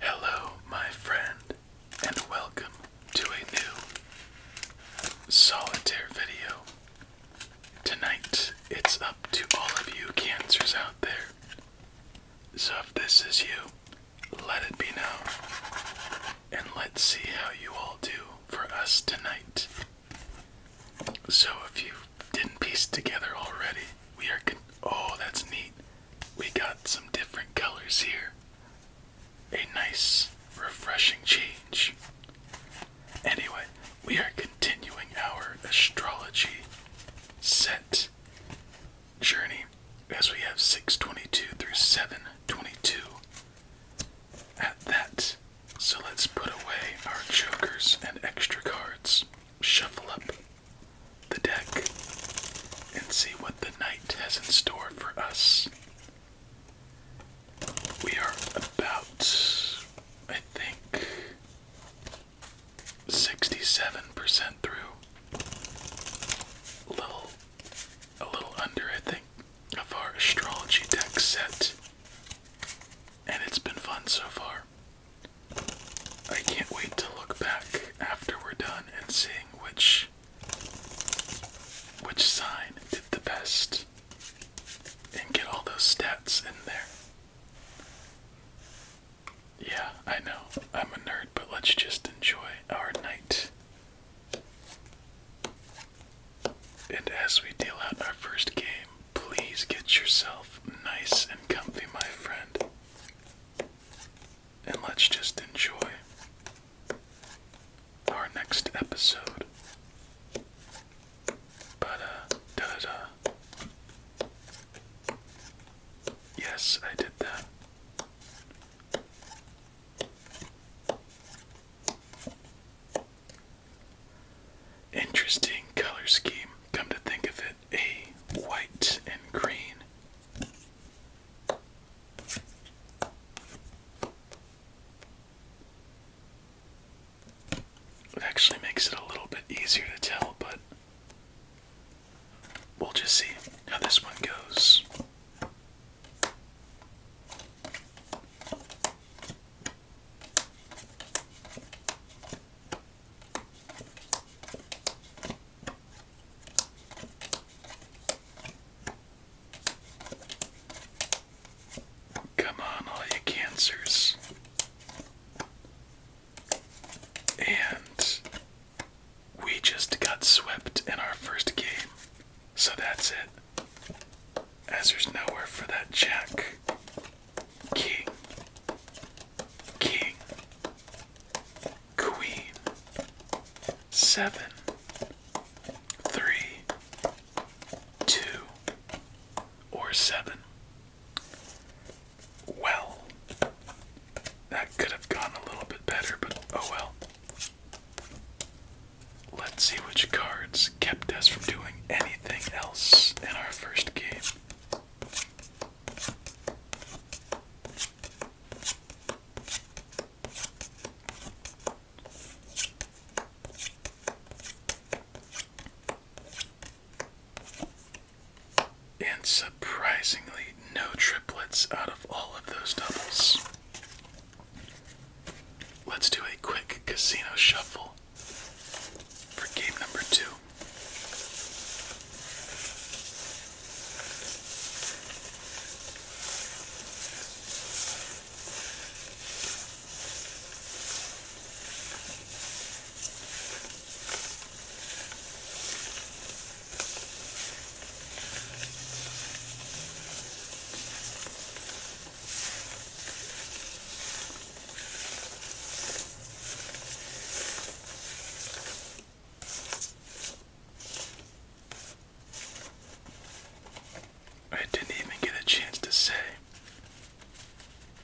Hello, my friend, and welcome to a new solitaire video. Tonight, it's up to all of you cancers out there. So, if this is you, let it be known. And let's see how you all do for us tonight. So, if you didn't piece together already, we are oh that's neat we got some different colors here a nice refreshing change anyway we are continuing our astrology set journey as we have 622 through 722 at that so let's put away our jokers and extra cards shuffle up the deck and see what the night has in store for us. We are about, I think, 67% through. A little, a little under, I think, of our astrology deck set. And it's been fun so far. I can't wait to look back after we're done and seeing which which sign did the best and get all those stats in there. Yeah, I know. I'm a nerd, but let's just enjoy our night. And as we deal out our first game, please get yourself nice and comfy, my friend. And let's just enjoy our next episode. But, uh, da da da. Yes, I did that. Interesting color scheme, come to think of it a white and green. It actually makes it a little bit easier to tell, but we'll just see how this one goes. Come on, all you cancers. And we just got swept in our first game. So that's it. As there's nowhere for that jack king, king, queen, seven, three, two, or seven. Well, that could have gone a little bit better, but oh well. Let's see which cards kept us from doing anything else in our first game. And surprisingly, no triplets out of all of those doubles. Let's do a quick casino shuffle for game number two. I didn't even get a chance to say,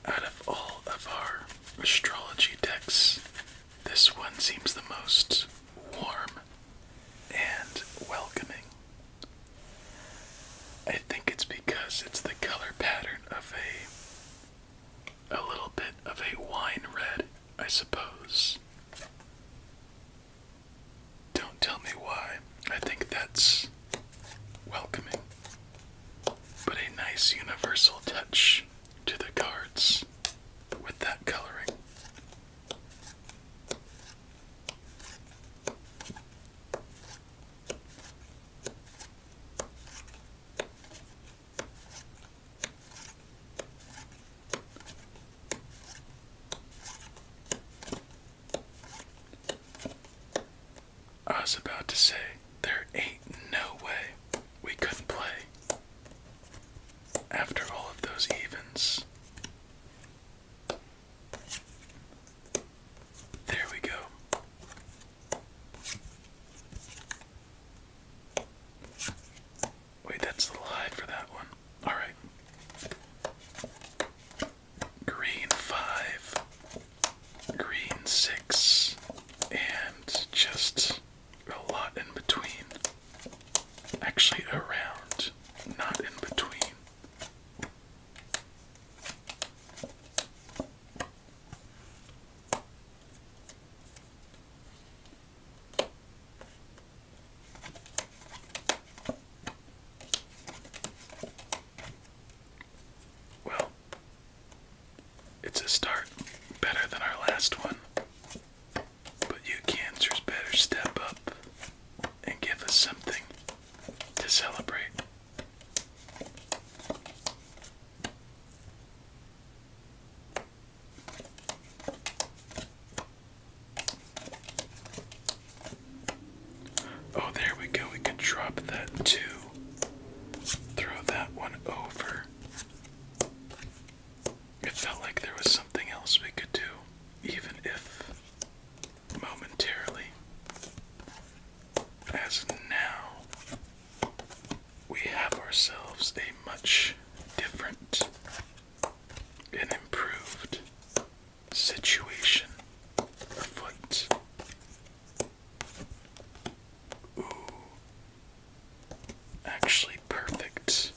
out of all of our astrology decks, this one seems the most warm and welcoming. I think it's because it's the color pattern of a a little bit of a wine red, I suppose. Don't tell me why. I think that's welcoming, but a nice universal touch to the cards with that coloring. I was about to say, there ain't no way we couldn't play after all of those evens. There we go. Wait, that's the lie for that one. Alright. Green five, green six, and just a lot in between. Actually, around, not in between. Well, it's a start better than our last one, but you cancers better step up and give us something to celebrate. Oh, there we go. We can drop that too. Throw that one over. It felt like there was something else we could do, even if momentarily. As now, we have ourselves a much different and improved situation afoot. Ooh, actually perfect.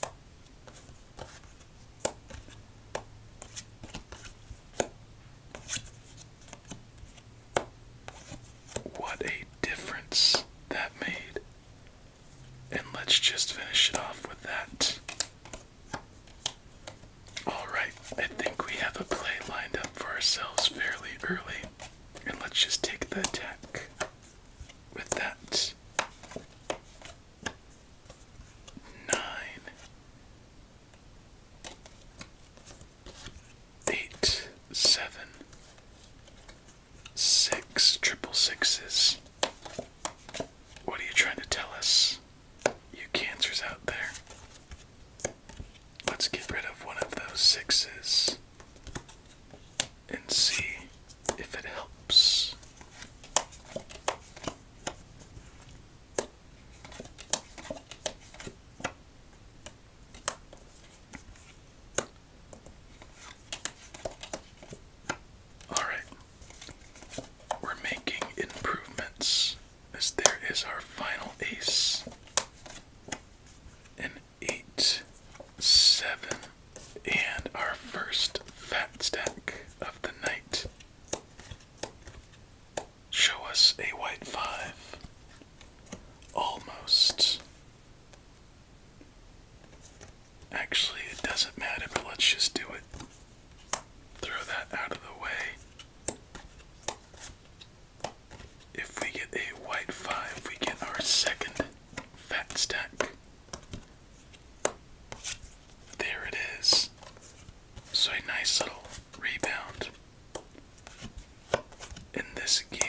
What a difference that made. And let's just finish it off with that. Alright, I think we have a play lined up for ourselves fairly early. And let's just take the attack with that. Nine eight, seven, six, triple sixes. What are you trying to tell us, you cancers out there? Let's get rid of one of those sixes and see if it helps. All right, we're making improvements as there is our final ace. An eight, seven, and our first fat stack of the night. Show us a white five. Almost Actually, it doesn't matter, but let's just do it. Throw that out of the way. If we get a white 5, we get our second fat stack. There it is. So a nice little rebound in this game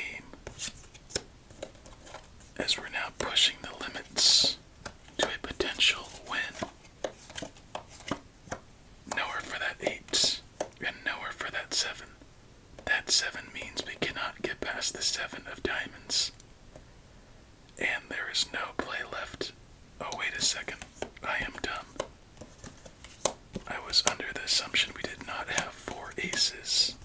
as we're now pushing the limits to a potential win. Nowhere for that 8 and nowhere for that 7. That 7 means we cannot get past the 7 of diamonds. And there is no play left. Oh, wait a second. I am dumb. I was under the assumption we did not have four aces.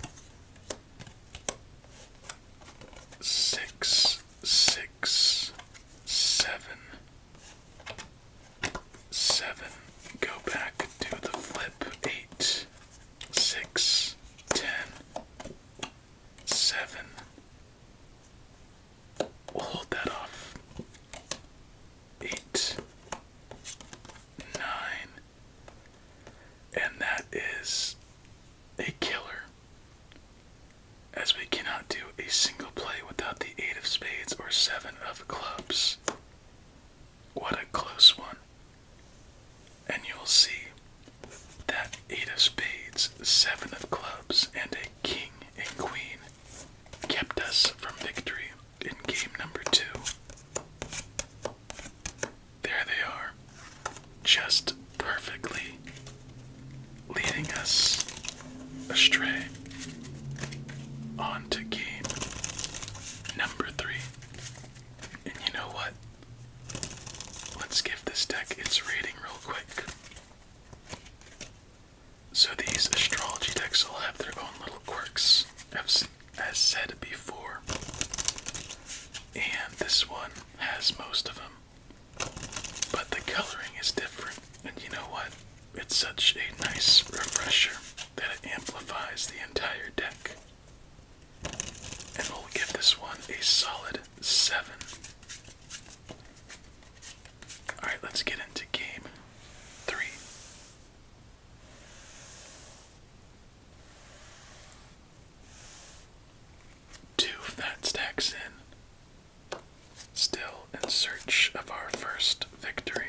Six, six, seven, seven. Go back to the flip. Eight, six, ten, seven. We'll hold that off. Eight, nine, and that is a killer, as we cannot do a single play without the eight of spades or seven of clubs. What a close one! And you'll see that eight of spades, seven of clubs, and a king and queen kept us from victory in game number two. There they are, just perfectly leading us astray on to game number three. And you know what? Let's give this deck its rating real quick. So, these astrology decks all have their own little quirks as said before. And this one has most of them. But the coloring is different. And you know what? It's such a nice refresher that it amplifies the entire deck. And we'll give this one a solid 7. Alright, let's get into game 3. Two fat stacks in, still in search of our first victory.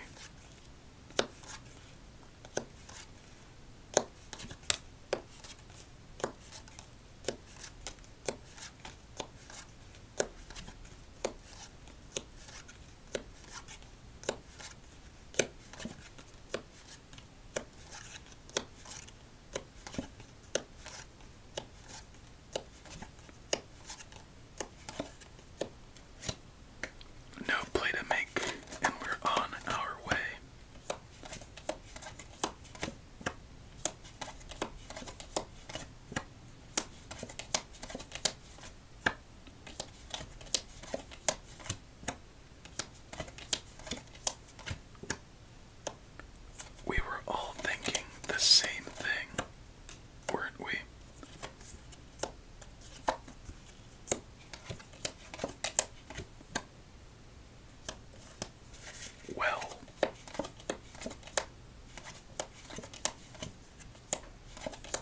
No play to make, and we're on our way. We were all thinking the same thing, weren't we? Well,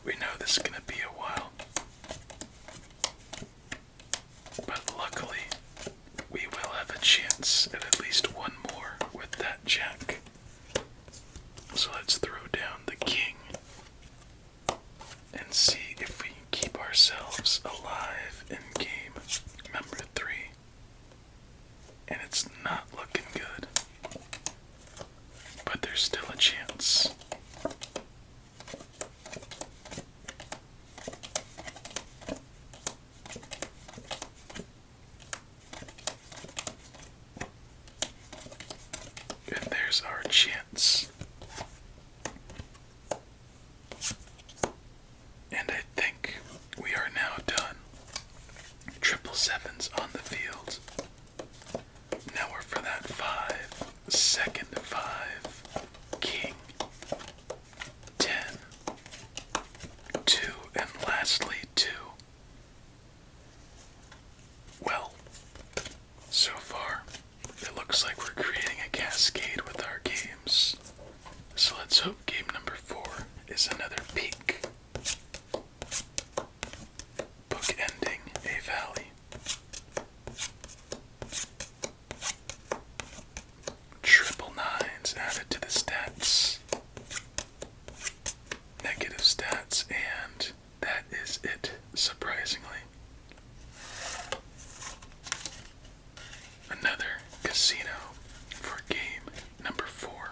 we know this is going to be a while. But luckily, we will have a chance at at least one more with that jack. So let's throw down the king and see if we can keep ourselves alive in game number three. And it's not looking good. But there's still a chance. And there's our chance. And I think we are now done. Triple sevens on the field. Now we're for that five. five. King. Ten. And lastly, two. Well, so far, it looks like we're creating a cascade with our games. So let's hope game number four is another peak. Book a valley. Triple nines added to the stats. Negative stats, and that is it, surprisingly. Another casino for game number four.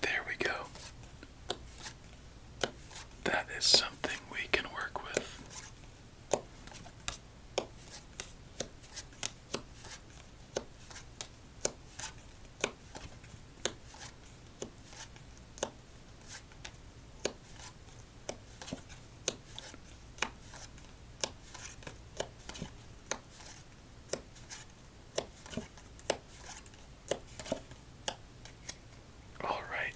There we go. That is something we can work with. All right.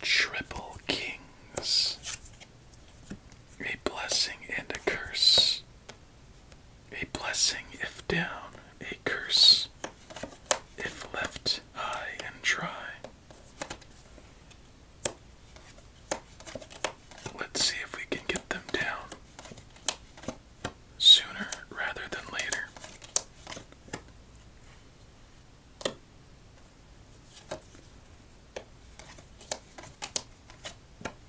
Triple Kings. A blessing and a curse. A blessing if down, a curse if left high and dry. Let's see if we can get them down sooner rather than later.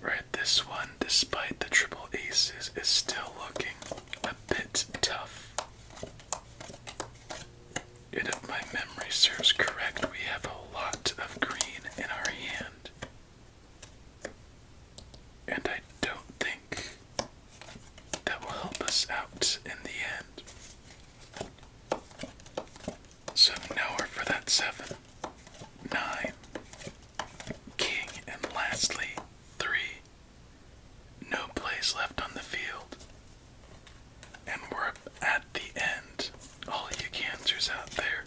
Right, this one, despite the triple aces, is still looking a bit tough. And if my memory serves correct, we have a lot of green in our hand. And I don't think that will help us out in the end. So now for that seven, nine, king, and lastly, three. No plays left on the field. And we're at the end all you cancers out there.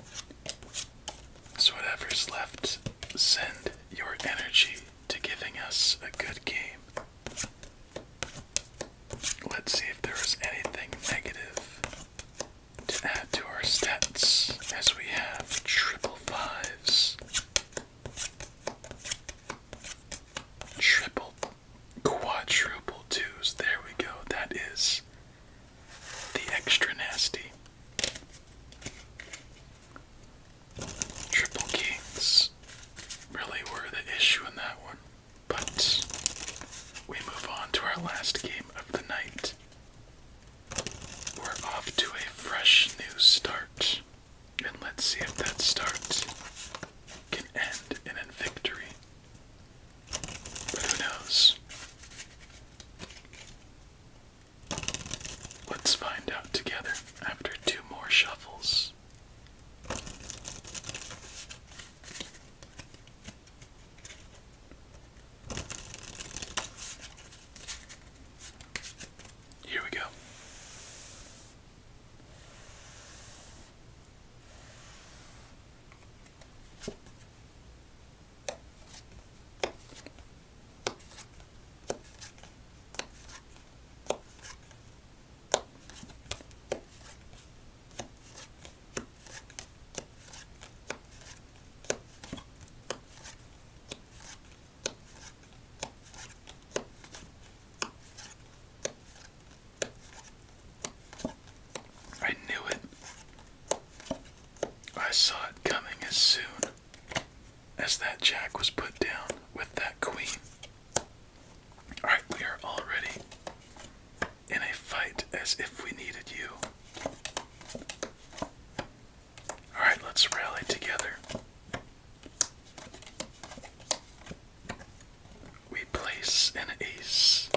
So, whatever's left, send your energy to giving us a good game. Let's see if there is anything negative to add to our stats as we have triple fives, triple, quadruple twos. There we go. That is the Extra Nasty. Triple Kings really were the issue in that one. But we move on to our last game of the night. We're off to a fresh new start. And let's see if that start can end in a victory. Who knows? Let's find out together after two more shuffles. Here we go. I knew it. I saw it coming as soon as that jack was put down with that queen. Alright, we are already in a fight as if we needed you. Alright, let's rally together. We place an ace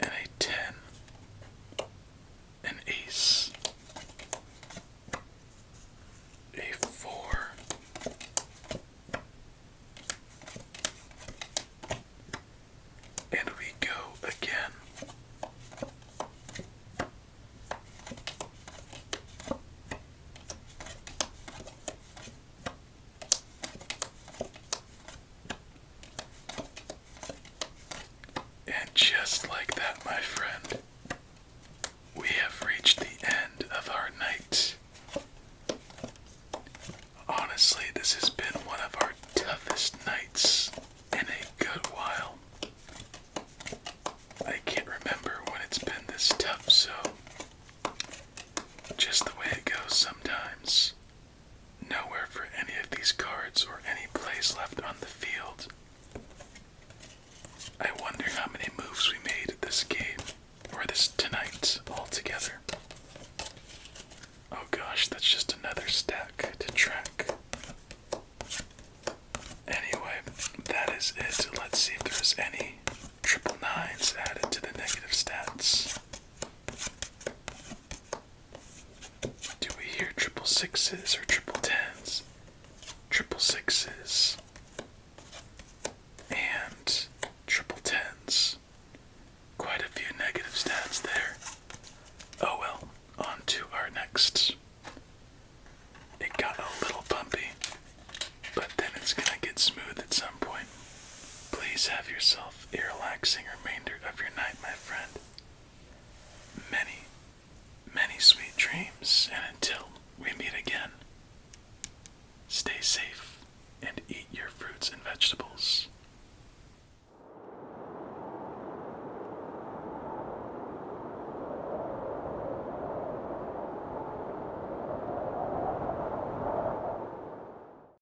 and a ten, an ace, a four, and we go again. And just like that, my friend, we have reached the end of our night. Honestly, this has been one of our toughest nights in a good while. I can't remember when it's been this tough, so just the way it goes sometimes nowhere for any of these cards or any place left on the field. I wonder how many moves we made this game or this tonight altogether. Oh gosh, that's just another stack to track. Anyway, that is it. Let's see if there's any triple nines added to the negative stats. Do we hear triple sixes or triple tens? Triple sixes and triple tens. Quite a few negative stats there. Oh well, on to our next. It got a little bumpy, but then it's gonna get smooth at some point. Please have yourself a relaxing remainder of your night, my friend. Many, many sweet dreams, and until we meet again, stay safe and eat your fruits and vegetables.